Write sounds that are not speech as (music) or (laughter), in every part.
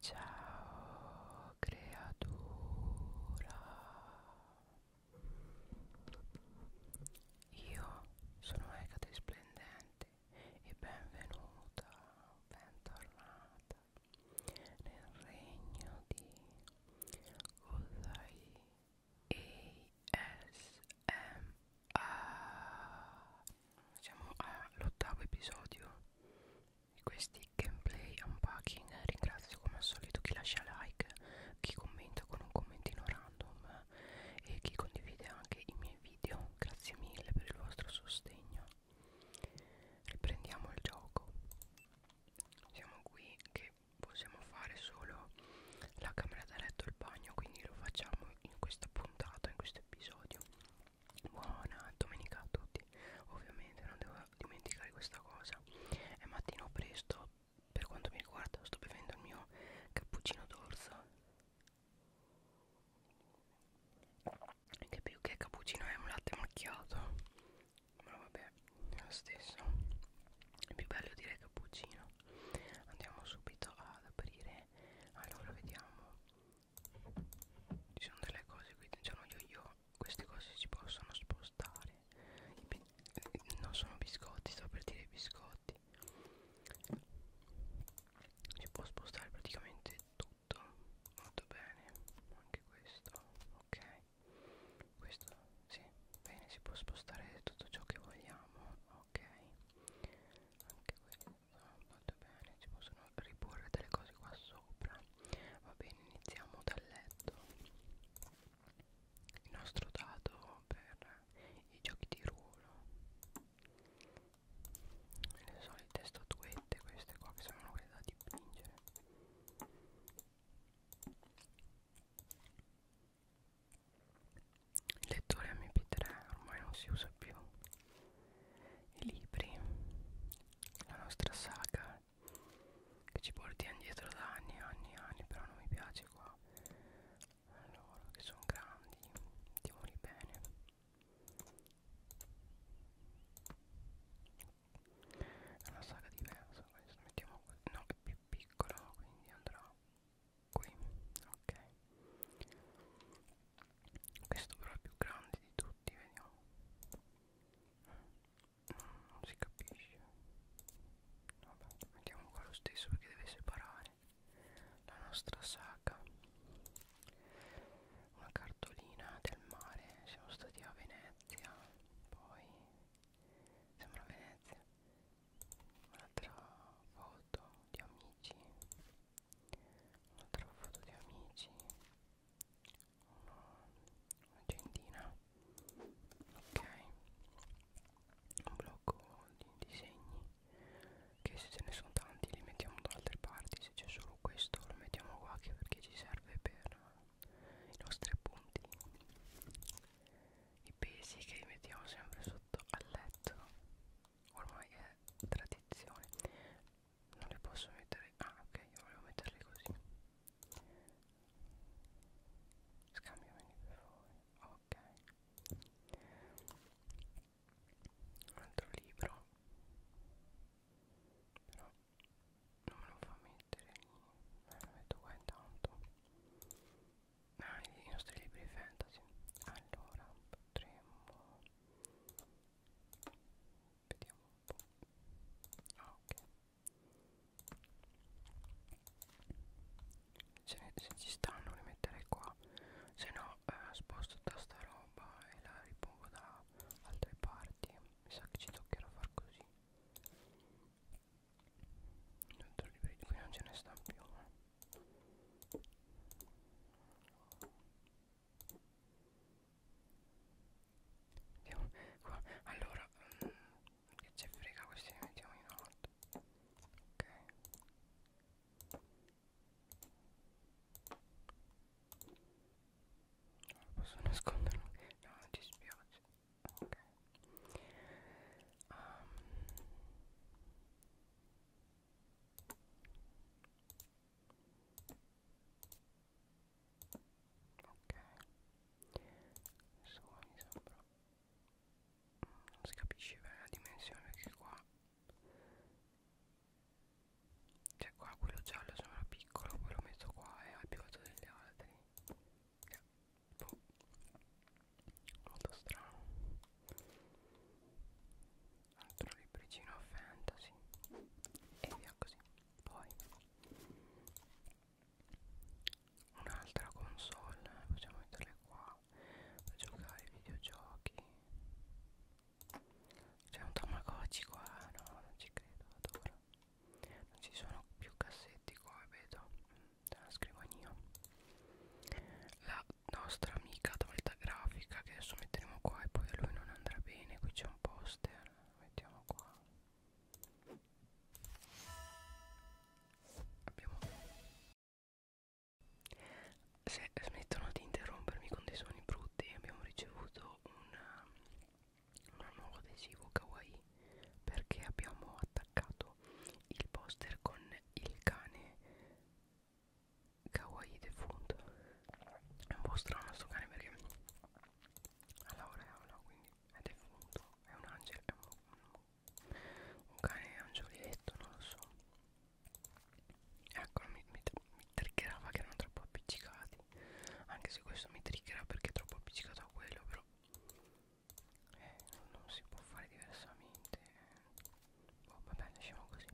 Ciao creatura. Io sono Ecate Splendente e benvenuta, bentornata nel regno di Uzai ASMR Siamo all'ottavo episodio di questi gameplay unpacking Ringrazio come al solito chi lascia like, chi commenta con un commentino random e chi condivide anche i miei video Grazie mille per il vostro sostegno Riprendiamo il gioco siamo qui che possiamo fare solo la camera da letto e il bagno quindi lo facciamo in questa puntata in questo episodio buona domenica a tutti ovviamente non devo dimenticare questa cosa è mattino presto per quanto mi riguarda sto bevendo il mio cappuccino d'orzo che più che cappuccino è un latte macchiato ma vabbè è lo stesso è più bello dire cappuccino andiamo subito ad aprire allora vediamo ci sono delle cose qui c'è uno yo yo queste cose si possono spostare non sono biscotti sto per dire biscotti si può spostare praticamente tutto molto bene anche questo ok questo sì bene si può spostare tutto ciò che vogliamo ok anche questo molto bene ci possono riporre delle cose qua sopra va bene iniziamo dal letto il nostro dato per i giochi di ruolo le solite statuette queste qua che sono quelle da dipingere il lettore mp3 ormai non si usa più i libri la nostra saga che ci porti indietro da anni e anni e anni però non mi piace qua allora che sono grandi mettiamoli bene è una saga diversa questa mettiamo no è più piccolo quindi andrà qui ok questo però è più grande di tutti vediamo mm, non si capisce vabbè mettiamo qua lo stesso perché deve separare la nostra saga una cartolina del mare siamo stati a Venezia poi sembra Venezia un'altra foto di amici un'altra foto di amici un'agendina ok un blocco di disegni che se ce ne sono tanti li mettiamo da altre parti se c'è solo questo lo mettiamo qua che perché ci serve per i nostri punti i pesi che li mettiamo sempre sotto sotto al letto ormai è tradizione non le posso mettere ah ok io volevo metterle così scambiameli per favore ok un altro libro però non me lo fa mettere lì me lo metto qua intanto ah, i nostri libri fantasy allora potremmo vediamo un po' ah, ok se, ne, se ci stanno rimettere qua se no eh, sposto tutta sta roba e la ripongo da altre parti mi sa che ci toccherà far così non libri, qui non ce ne sta più eh. Andiamo qua. Allora, mh, mm, che ci frega questi li mettiamo in alto. Ok. Non posso nasconderlo. No, non ti spiace. Ok. Um, Ok Adesso qua mi sembra Non si capisce bene la dimensione perché qua Cioè qua quello giallo sembra piccolo Poi lo metto qua e è più alto degli altri eh, boh molto strano altro libricino fantasy e via così poi un'altra console possiamo metterle qua per giocare ai videogiochi c'è un tamagotchi qua no non ci credo adoro non ci sono più cassetti come vedo mm dalla scrivania la nostra amica tolta grafica che adesso metteremo qua e poi a lui non andrà bene qui c'è un poster mettiamo qua abbiamo se smettono di interrompermi con dei suoni brutti abbiamo ricevuto una, un nuovo adesivo kawaii perché abbiamo attaccato il poster con il cane kawaii defunto è un po' strano sto cane perché ha la aureola quindi è defunto è un angelo è un, un, un cane angioletto non lo so ecco mi, mi, mi triggerava che erano troppo appiccicati anche se questo mi triggerà perché è troppo appiccicato a quello però eh, non si può fare diversamente oh, vabbè lasciamo così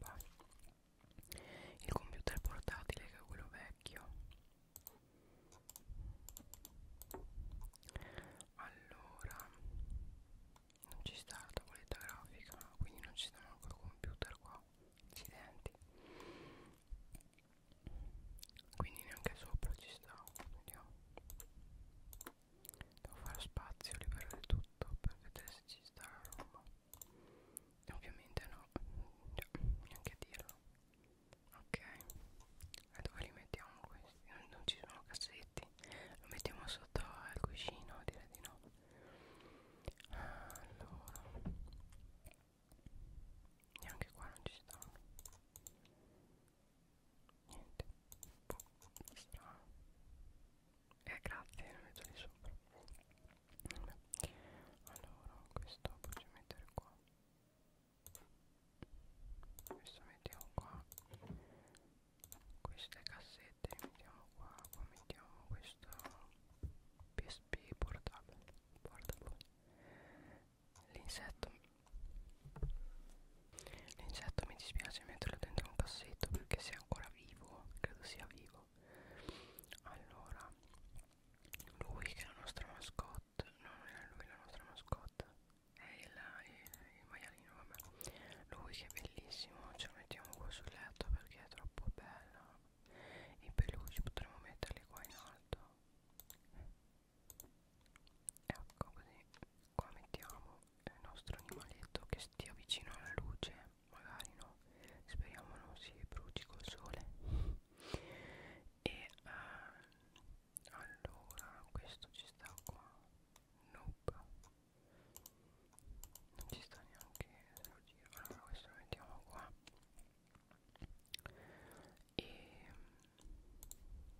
Vai. il computer portatile che è quello vecchio allora non ci sta la tavoletta grafica quindi non ci sta neanche il computer qua accidenti quindi neanche sopra ci sta vediamo Devo fare spazio, liberare tutto per vedere se ci sta la roba. E ovviamente no, cioè, neanche a dirlo. Ok, e dove li mettiamo questi? Non, non ci sono cassetti. Lo mettiamo sotto al cuscino, direi di no. Allora, neanche qua non ci stanno niente strano e eh, grazie lo metto lì sopra allora questo posso mettere qua questo mettiamo qua queste cassette mettiamo qua qua mettiamo questo PSP portabile portable l'insetto L'insetto mi dispiace metterlo dentro un cassetto perché se è ancora vivo, credo sia vivo. Allora, lui che è la nostra mascotte, no non è lui la nostra mascotte, è il, il, il maialino, vabbè. Lui che è bellissimo, ce lo mettiamo qua sul letto perché è troppo bello. I peluci potremmo metterli qua in alto. Ecco così, qua mettiamo il nostro animaletto che stia vicino alla luce magari no speriamo non si bruci col sole e uh, allora questo ci sta qua nope non ci sta neanche se lo giro allora questo lo mettiamo qua e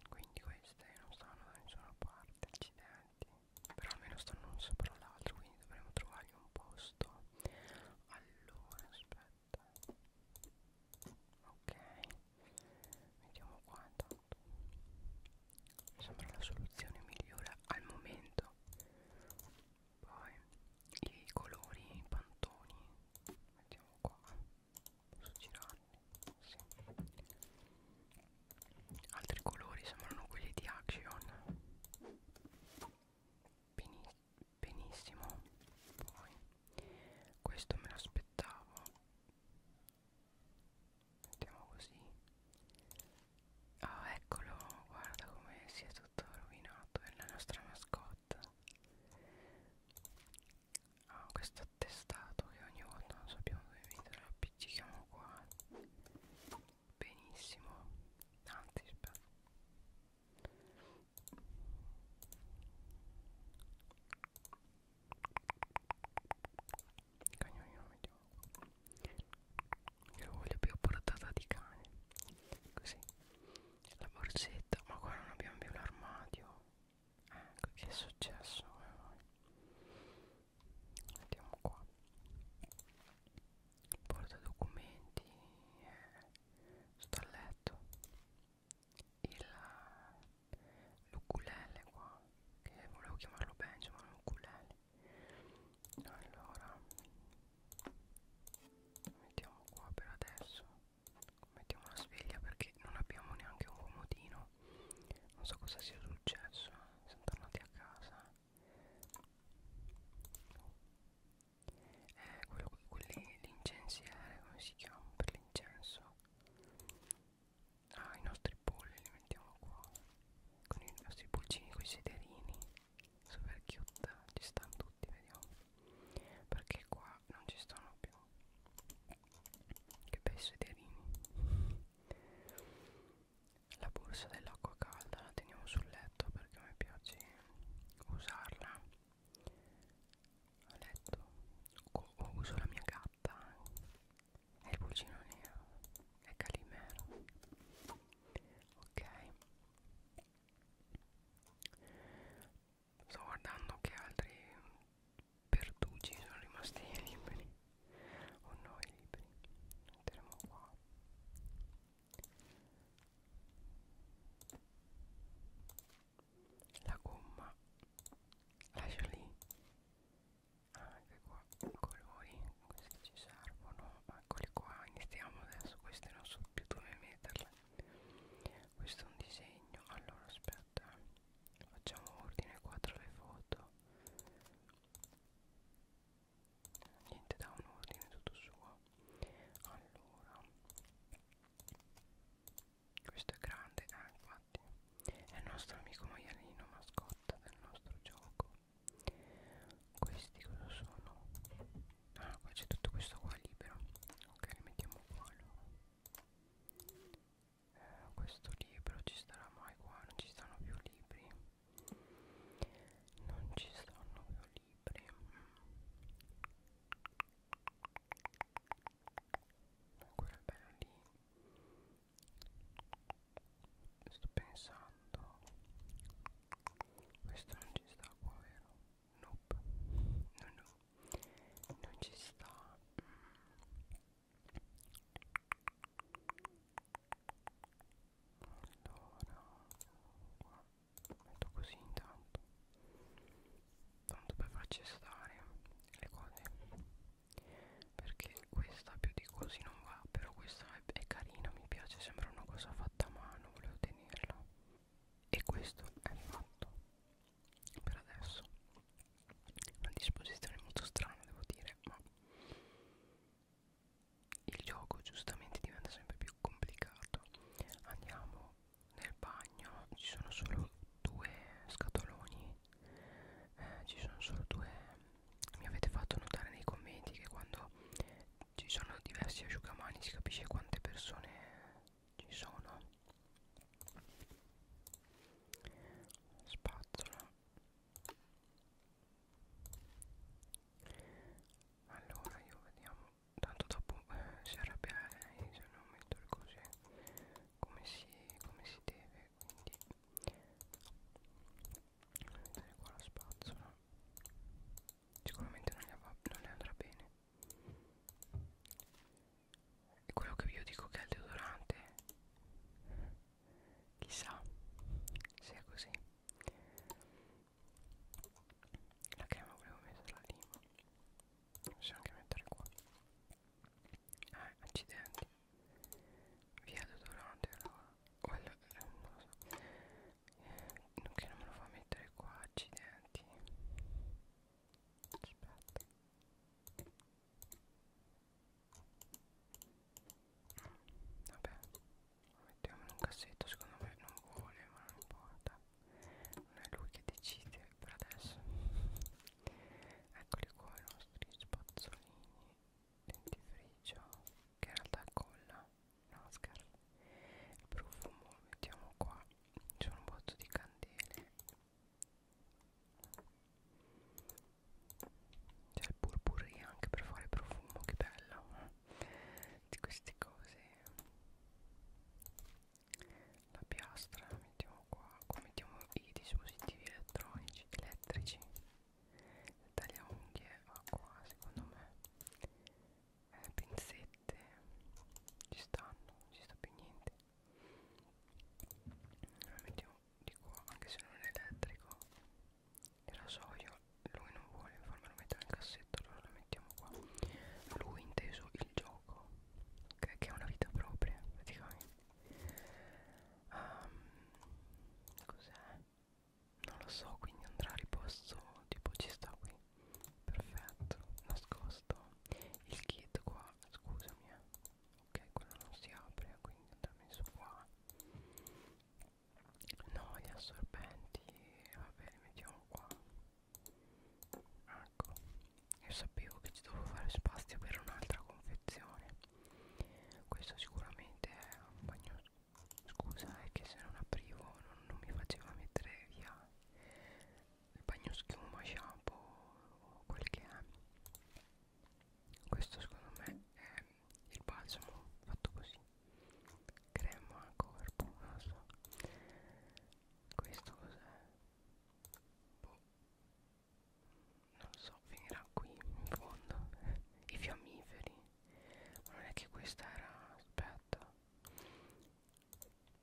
quindi queste non stanno da nessuna parte accidenti però almeno stanno uno sopra l'altro quindi dovremmo trovargli un posto allora aspetta ok vediamo qua intanto mi sembra la soluzione migliore al momento poi i colori i pantoni mettiamo qua posso girarli sì altri colori sembrano quelli di Action Beniss benissimo poi questo me l'aspettavo mettiamo così ah eccolo guarda come si è tutto rovinato è la nostra mascotte ah questo attestato che ogni volta non sappiamo dove mettere la P appiccichiamo qua benissimo anzi aspetta il cagnolino lo mettiamo qua io voglio più portata di cane così la borsetta ma qua non abbiamo più l'armadio ecco che è successo eh, vediamo qua porta documenti eh, stalletto il eh, l'ukulele qua che volevo chiamarlo Benji ma l'ukulele allora mettiamo qua per adesso mettiamo la sveglia perché non abbiamo neanche un comodino non so cosa sia successo siamo tornati a casa eh, quello, quelli, l'incensiere come si chiama per l'incenso ah i nostri polli li mettiamo qua con i nostri pulcini con i sederini super cute ci stanno tutti vediamo perché qua non ci stanno più che bei sederini la borsa dell'acqua calda la teniamo sul letto perché a me piace usarla a letto o, o uso la mia gatta è il pulcino nero è calimero ok sto guardando che altri pertugi sono rimasti (laughs) liberi o no i libri li metteremo qua la gomma lascia lì ah, anche qua colori questi ci servono eccoli qua iniziamo adesso queste non so più dove metterle questo è un disegno allora aspetta facciamo ordine qua tra le foto niente da un ordine tutto suo allora questo è grande ah infatti è il nostro amico maialino mascotta del nostro gioco questi cosa sono ah qua c'è tutto questo qua libero ok li mettiamo qua allora eh, questo libro ci starà mai qua non ci stanno più libri non ci sono più libri ancora bello lì sto pensando questo non ci sta qua vero? nope no no non ci sta mm. Allora qua metto così intanto tanto per farci stare le cose perché questa più di così non va però questa è, è carina mi piace sembra una cosa fatta a mano volevo tenerla e questo è fatto per adesso una disposizione molto strana devo dire ma il gioco giustamente diventa sempre più complicato andiamo nel bagno ci sono solo due scatoloni eh, ci sono solo due mi avete fatto notare nei commenti che quando ci sono diversi asciugamani si capisce quante persone ci sono spazzola allora io vediamo tanto dopo eh, si arrabbia lei se non metto le cose come si, come si deve quindi mettere qua la spazzola sicuramente non le, va, non le andrà bene e quello che io dico che è il deodorante chissà se è così la crema volevo metterla lì ma posso anche mettere qua eh accidenti via deodorante allora quello eh, non lo so eh, che non me lo fa mettere qua accidenti aspetta Vabbè, lo mettiamo in un cassetto, secondo me non vuole, ma non importa. Non è lui che decide per adesso. (laughs) Eccoli qua i nostri spazzolini dentifricio, che in realtà colla, NASCAR. Il profumo lo mettiamo qua, c'è un botto di candele c'è il purpurri anche per fare profumo che bella eh? di queste cose la piastra mettiamo qua qua mettiamo i dispositivi elettronici elettrici il tagliaunghie va qua secondo me eh, pinzette ci stanno non ci sta più niente la mettiamo di qua anche se non è elettrico il rasoio lui non vuole farmelo mettere nel cassetto allora lo mettiamo qua lui inteso il gioco che, che è una vita propria praticamente um, cos'è? non lo so quindi andrà a riposto tipo ci sta qui perfetto nascosto il kit qua scusami eh. ok quello non si apre quindi andiamo su qua no gli assorbenti vabbè li mettiamo qua ecco io sapevo che ci dovevo fare spazio per un'altra confezione questo sicuramente è un bagno scusa è che se non aprivo non, non mi faceva mettere via il bagno schiuma shampoo o quel che è questo secondo me è il balsamo fatto così crema al corpo non lo so questo cos'è boh. non lo so finirà qui in fondo (laughs) i fiammiferi ma non è che questa era aspetta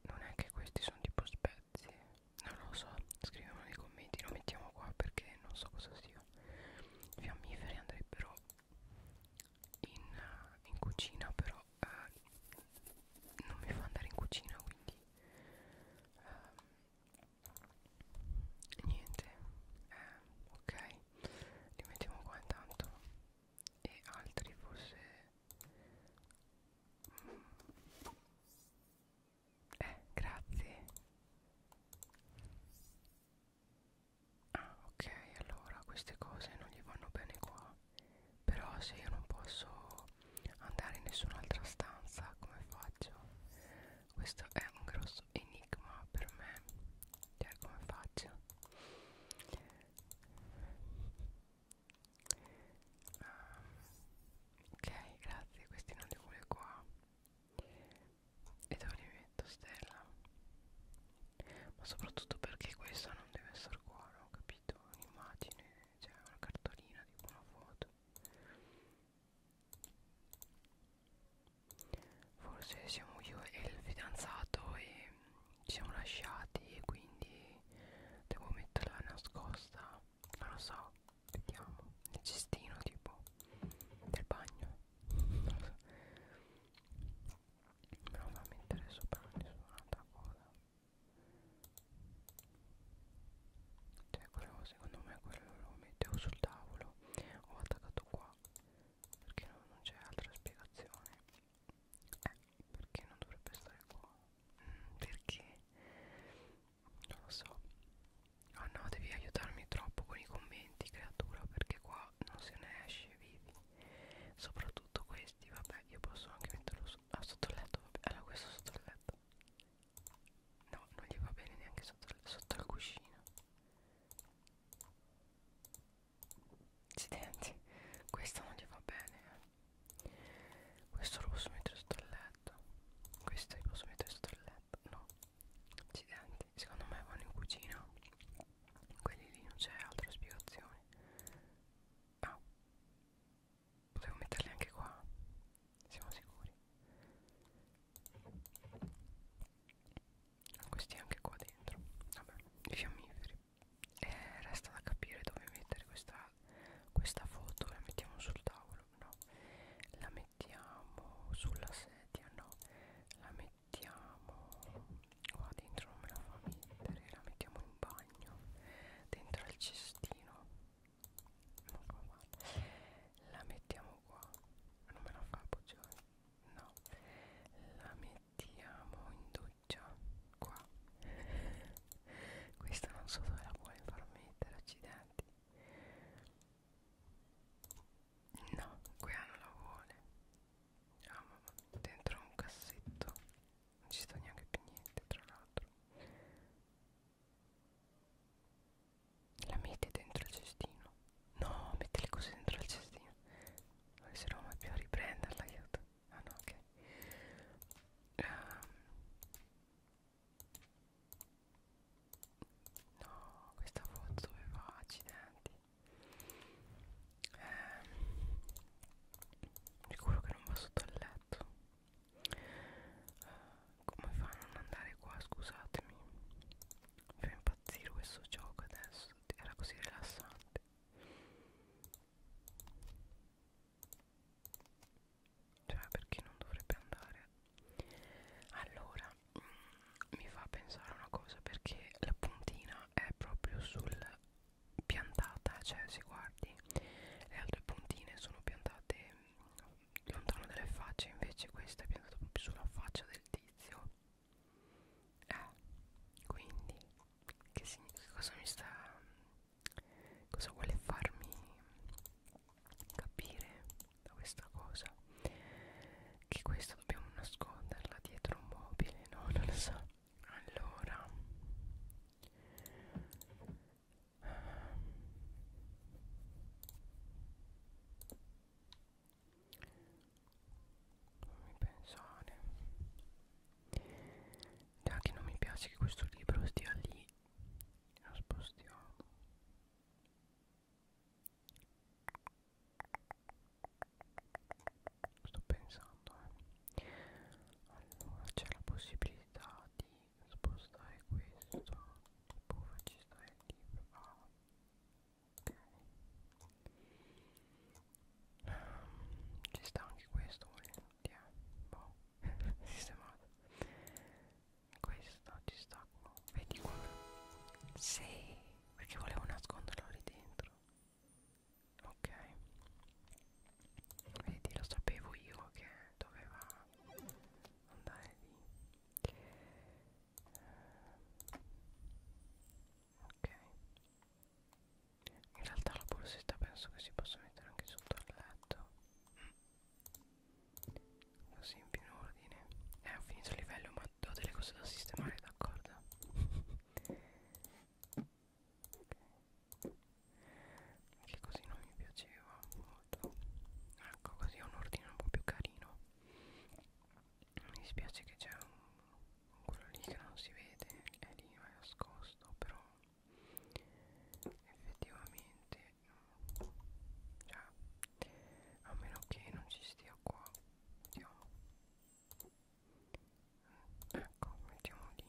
non è che questi sono tipo spezie non lo so scriviamo nei commenti lo mettiamo qua perché non so cosa sia i fiammiferi andrebbero in, eh, in cucina però eh, non mi fa andare in cucina quindi eh, niente eh, ok li mettiamo qua intanto e altri forse mm. eh grazie Ah ok allora queste cose non gli vanno bene qua Però se io non posso andare in nessun'altra stanza come faccio? Questo è un grosso enigma per me Cioè come faccio? Um, ok grazie questi non li vuole qua e dove li metto stella ma soprattutto perché questa non deve essere cuore ho capito un'immagine cioè una cartolina di una foto forse siamo io e il fidanzato e ci siamo lasciati e quindi devo metterla nascosta non lo so vediamo nel cestino tipo del bagno però non mi interessa per nessun'altra cosa cioè quello secondo me quello lo mettevo sul tavolo ho attaccato qua perché no, non c'è altra spiegazione eh perché non dovrebbe stare qua mm, perché non lo so oh no devi aiutarmi troppo con i commenti creatura perché qua però non se ne esce vivi soprattutto questi vabbè io posso anche metterlo su ah, sotto il letto vabbè. allora questo sotto il letto no non gli va bene neanche sotto il, sotto il cuscino accidenti questo non gli va bene eh. questo lo posso mettere sotto il letto questo lo posso mettere sotto il letto no accidenti secondo me vanno in cucina quelli lì non c'è altra spiegazione ah potevo metterli anche qua siamo sicuri questi anche qua dentro vabbè i fiammiferi e eh, resta da capire dove mettere questa questa foto la mettiamo sul tavolo no la mettiamo sulla sedia no la mettiamo mettiamo qua dentro non me la fa mettere la mettiamo in bagno dentro al cestino non fa male la mettiamo qua non me la fa appoggiare no la mettiamo in doccia qua (laughs) questa non so dove la vuole far mettere accidenti No, quella non la vuole. Ah, mamma, dentro un cassetto. Non ci sta neanche più niente, tra l'altro. La mette dentro il cestino. No, mette le cose dentro il cestino. Non riuscirò mai più a riprenderla, aiuto. Ah no, ok. Um. No, questa foto dove va accidenti eh, sicuro che non va sotto il letto eh, come fa a non andare qua scusatemi mi fa impazzire questo gioco adesso era così rilassante cioè perché non dovrebbe andare allora mh, mi fa pensare una cosa perché la puntina è proprio sul piantata cioè se guardi le altre puntine sono piantate mh, lontano dalle facce invece questa è piantata proprio sulla faccia del tizio eh, quindi che, che cosa mi sta cosa vuole farmi capire da questa cosa che questa dobbiamo nasconderla dietro un mobile no non lo so allora fammi pensare già che non mi piace che questo libro stia lì lo spostiamo sto pensando eh. allora c'è la possibilità di spostare questo tipo facci stare libro ah, ok um, ci sta anche questo volendo yeah. Eh. boh (laughs) sistemato questo ci sta qua vedi qua sì perché volevo nasconderlo lì dentro ok vedi lo sapevo io che doveva andare lì ok in realtà la borsetta penso che si possa mettere anche sotto il letto mm. così in più non ordine eh ho finito il livello ma ho delle cose da sistemare d'accordo che così non mi piaceva molto ecco così ho un ordine un po' più carino mi dispiace che c'è un quello lì che non si vede è lì ma è nascosto però effettivamente cioè a meno che non ci stia qua vediamo ecco mettiamo lì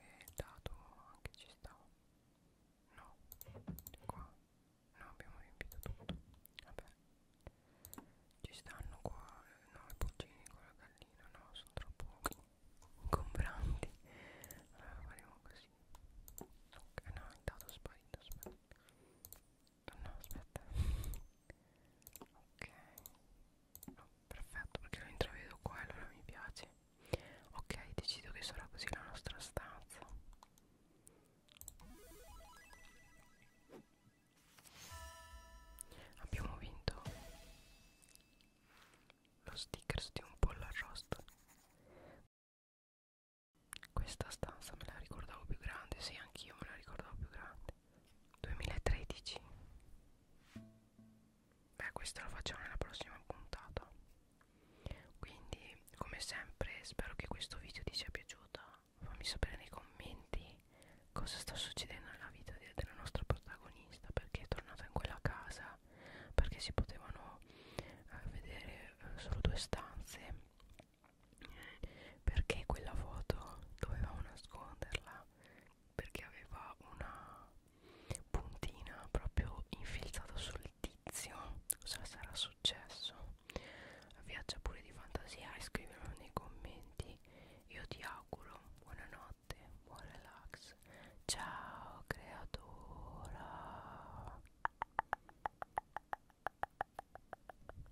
e il dato anche ci sta no qua no abbiamo riempito tutto vabbè ci stanno qua eh, no i pulcini con la gallina no sono troppo ingombranti allora faremo così ok no il dato è sparito aspetta no aspetta ok no, perfetto perché lo intravedo qua e allora mi piace ok decido che sarà così la nostra stanza abbiamo vinto lo stickers di un pollo arrosto questa stanza me la ricordavo più grande sì anch'io me la ricordavo più grande 2013 beh questo lo facciamo nella prossima puntata quindi come sempre spero che questo video ti sia piaciuto fammi sapere nei commenti cosa sta succedendo nella vita de della nostra protagonista perché è tornata in quella casa perché si potevano eh, vedere eh, solo due stanze perché quella foto dovevamo nasconderla perché aveva una puntina proprio infilzata sul tizio cosa sarà successo viaggia pure di fantasia e scrivilo nei commenti io ti auguro buonanotte buon relax ciao creatura